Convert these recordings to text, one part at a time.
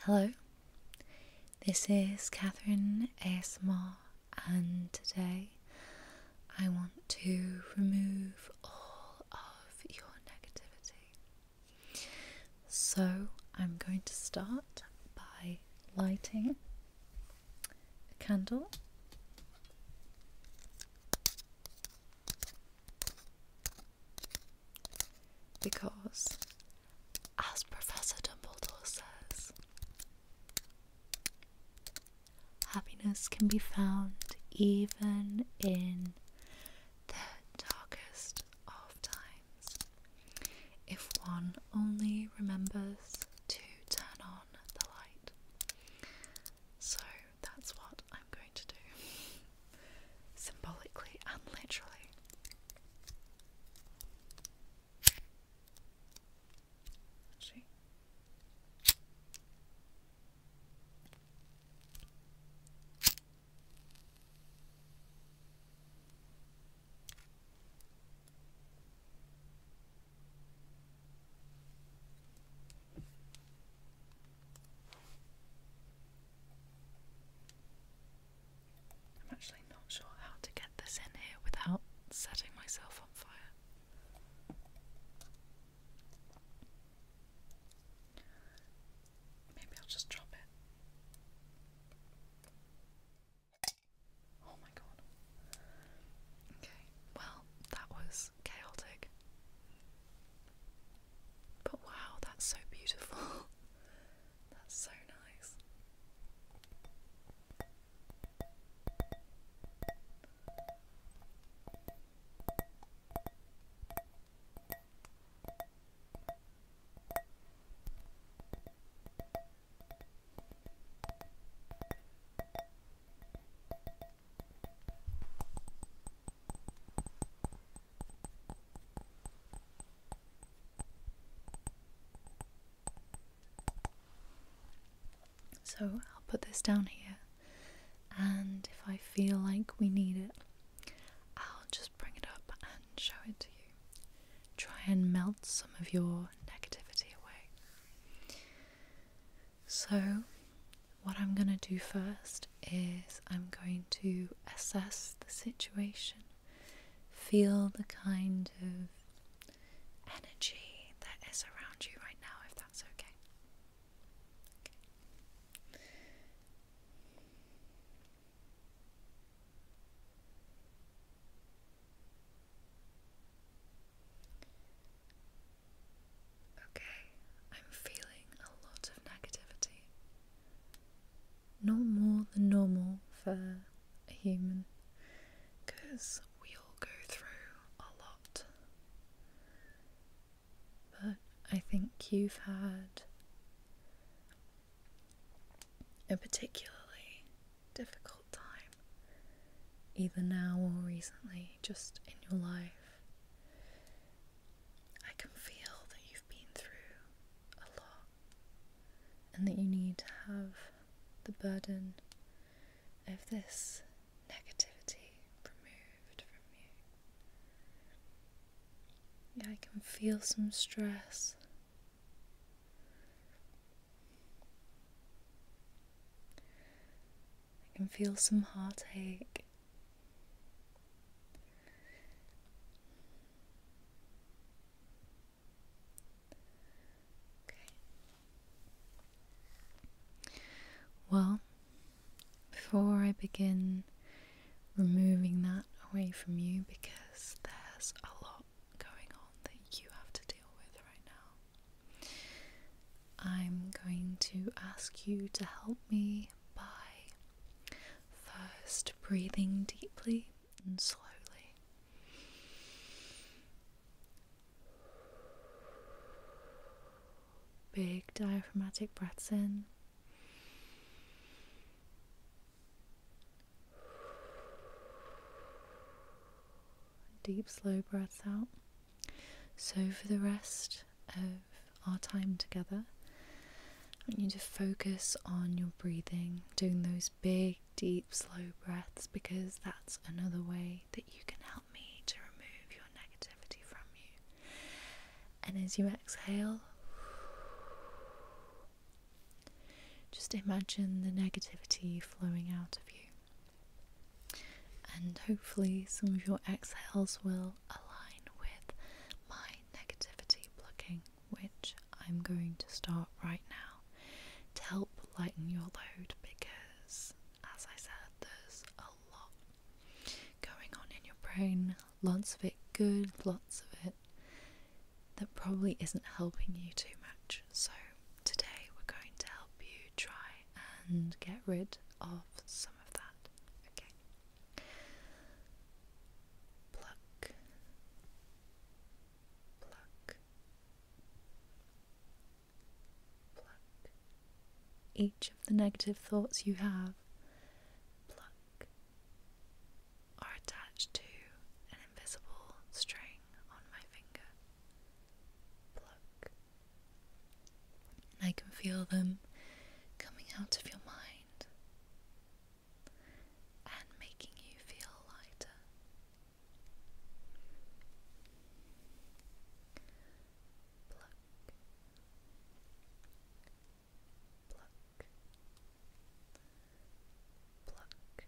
Hello, this is Catherine ASMR, and today I want to remove all of your negativity. So I'm going to start by lighting a candle. Because as Professor Dumbledore says, happiness can be found even in the darkest of times if one only remembers to turn on the light. So that's what I'm going to do. symbolically and literally. I'm actually not sure how to get this in here without setting myself on fire. Maybe I'll just drop it. Oh my god. Okay, well, that was chaotic. But wow, that's so beautiful. That's so nice. So I'll put this down here, and if I feel like we need it, I'll just bring it up and show it to you. Try and melt some of your negativity away. So, what I'm going to do first is I'm going to assess the situation, feel the kind of energy that is around you right now, if that's okay. okay. Okay, I'm feeling a lot of negativity no more than normal for a human because we all go through a lot. But I think you've had a particularly difficult time, either now or recently, just in your life. I can feel that been through a lot and that you need to have the burden of this negativity removed from you. Yeah, I can feel some stress. I can feel some heartache. Well, before I begin removing that away from you, because there's a lot going on that you have to deal with right now, I'm going to ask you to help me by First, breathing deeply and slowly. Big diaphragmatic breaths in. Deep, slow breaths out. So, for the rest of our time together. I want you to focus on your breathing, doing those big, deep, slow breaths because that's another way that you can help me to remove your negativity from you. And as you exhale, just imagine the negativity flowing out of you. And hopefully, some of your exhales will align with my negativity blocking, which I'm going to start right now to help lighten your load because, as I said, there's a lot going on in your brain, lots of it good, lots of it that probably isn't helping you too much. So, today we're going to help you try and get rid of some of that. Okay pluck, pluck, pluck. Each of the negative thoughts you have, pluck, are attached to an invisible string on my finger. Pluck. And I can feel them coming out of your mind and making you feel lighter. Pluck, pluck, pluck, pluck,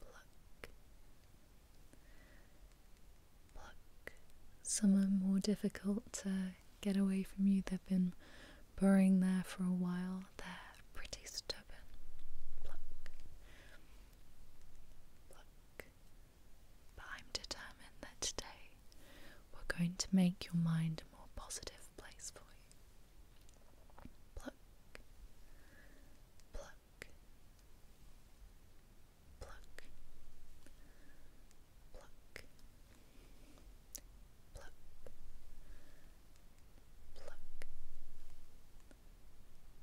pluck. Some are more difficult to get away from you. They've been burrowing there for a while. They're pretty stubborn. Pluck. But I'm determined that today we're going to make your mind a more positive place for you pluck, pluck, pluck, pluck,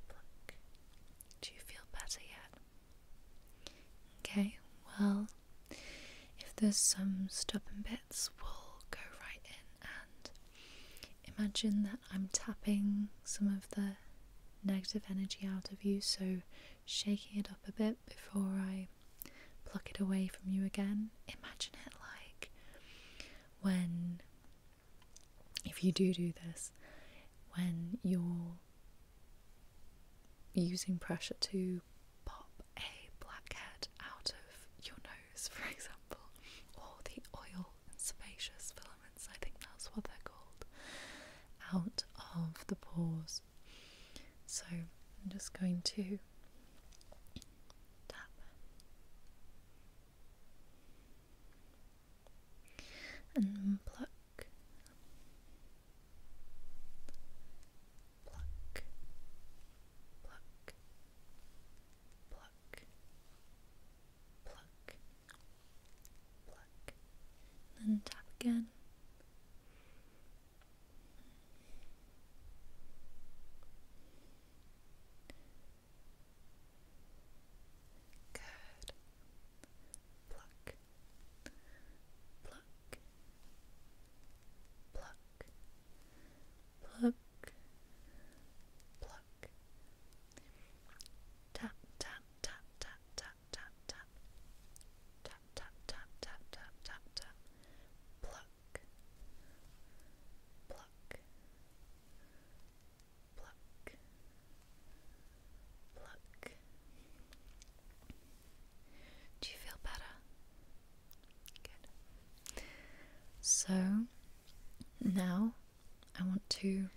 pluck. Do you feel better yet? Okay, well, if there's some stubborn bits, we'll go right in and imagine that I'm tapping some of the negative energy out of you, so shaking it up a bit before I pluck it away from you again. Imagine it like when, if you do do this, when you're using pressure to pop a blackhead out of your nose, for example, or the oil and sebaceous filaments, I think that's what they're called, out of the pores. So I'm just going to tap and pluck. Pluck, pluck, pluck, pluck, pluck, then tap again. Good. Pluck, pluck, pluck, pluck, pluck, tap, tap, tap, tap, tap, tap. Tap, tap, tap, tap, tap, tap, tap. Pluck. Pluck. Pluck. Pluck. Do you feel better? Good. So now I want to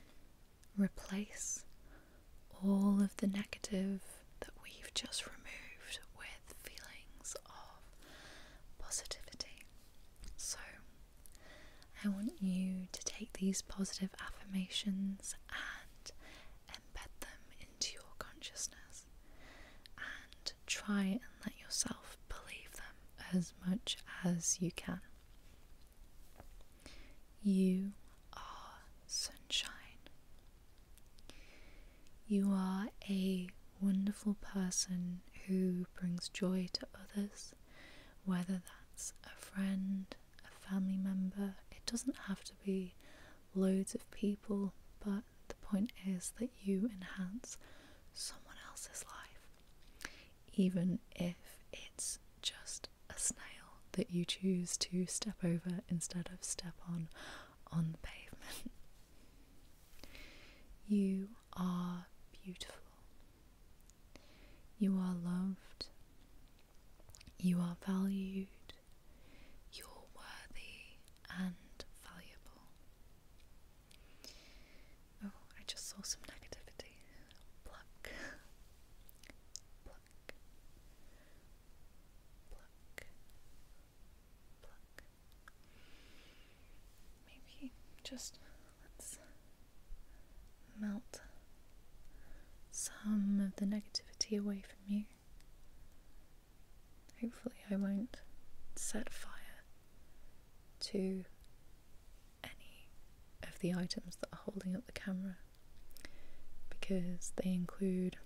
replace all of the negative that we've just removed with feelings of positivity. So, I want you to take these positive affirmations and embed them into your consciousness and try and let yourself believe them as much as you can. You are sunshine. You are a wonderful person who brings joy to others, whether that's a friend, a family member. It doesn't have to be loads of people, but the point is that you enhance someone else's life, even if it's just a snail that you choose to step over instead of step on on the pavement. You are beautiful. You are loved. You are valued. You're worthy and valuable. Oh, I just saw some negativity pluck, pluck, pluck, pluck. Maybe just let's melt some of the negativity away from you. Hopefully, I won't set fire to any of the items that are holding up the camera because they include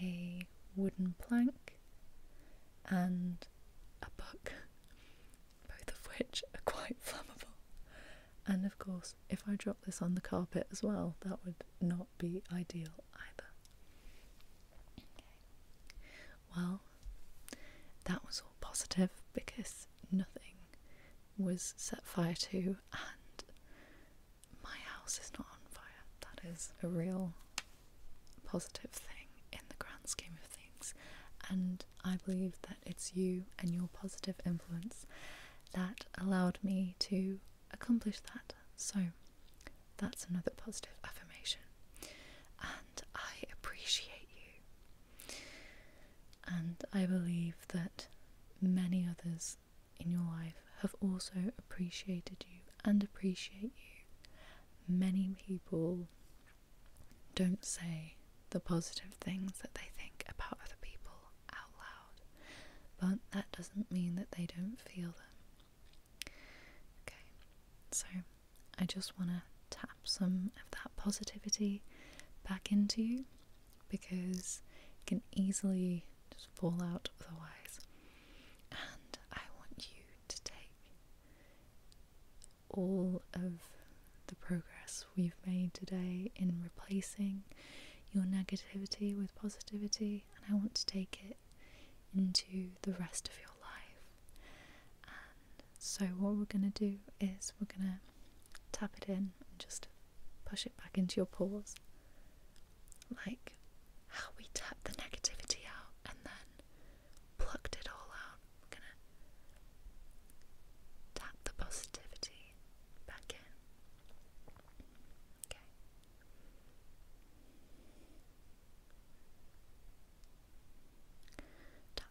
a wooden plank and a book, both of which are quite flammable. And of course, if I drop this on the carpet as well, that would not be ideal either. Well, that was all positive because nothing was set fire to, and my house is not on fire. That is a real positive thing in the grand scheme of things, and I believe that it's you and your positive influence that allowed me to accomplish that. So, that's another positive affirmation, and I appreciate you. And I believe that many others in your life have also appreciated you and appreciate you. Many people don't say the positive things that they think about other people out loud, but that doesn't mean that they don't feel them. Okay, so I just want to tap some of that positivity back into you because it can easily just fall out otherwise. And I want you to take all of the progress we've made today in replacing your negativity with positivity, and I want to take it into the rest of your life so, what we're going to do is we're going to tap it in and just push it back into your pores, like how we tapped the negativity out and then plucked it all out. We're going to tap the positivity back in. Okay.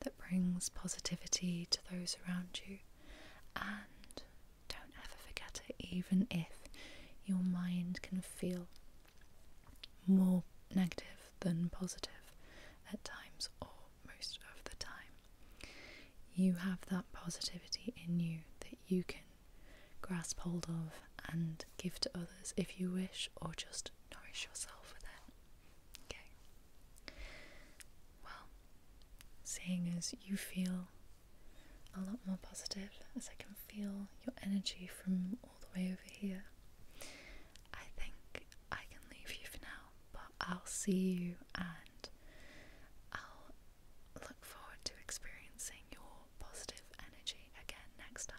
that brings positivity to those around you. And don't ever forget it, even if your mind can feel more negative than positive at times or most of the time. You have that positivity in you that you can grasp hold of and give to others if you wish, or just nourish yourself with it. Okay. Well, seeing as you feel a lot more positive, as I can feel your energy from all the way over here, I think I can leave you for now, but I'll see you and I'll look forward to experiencing your positive energy again next time.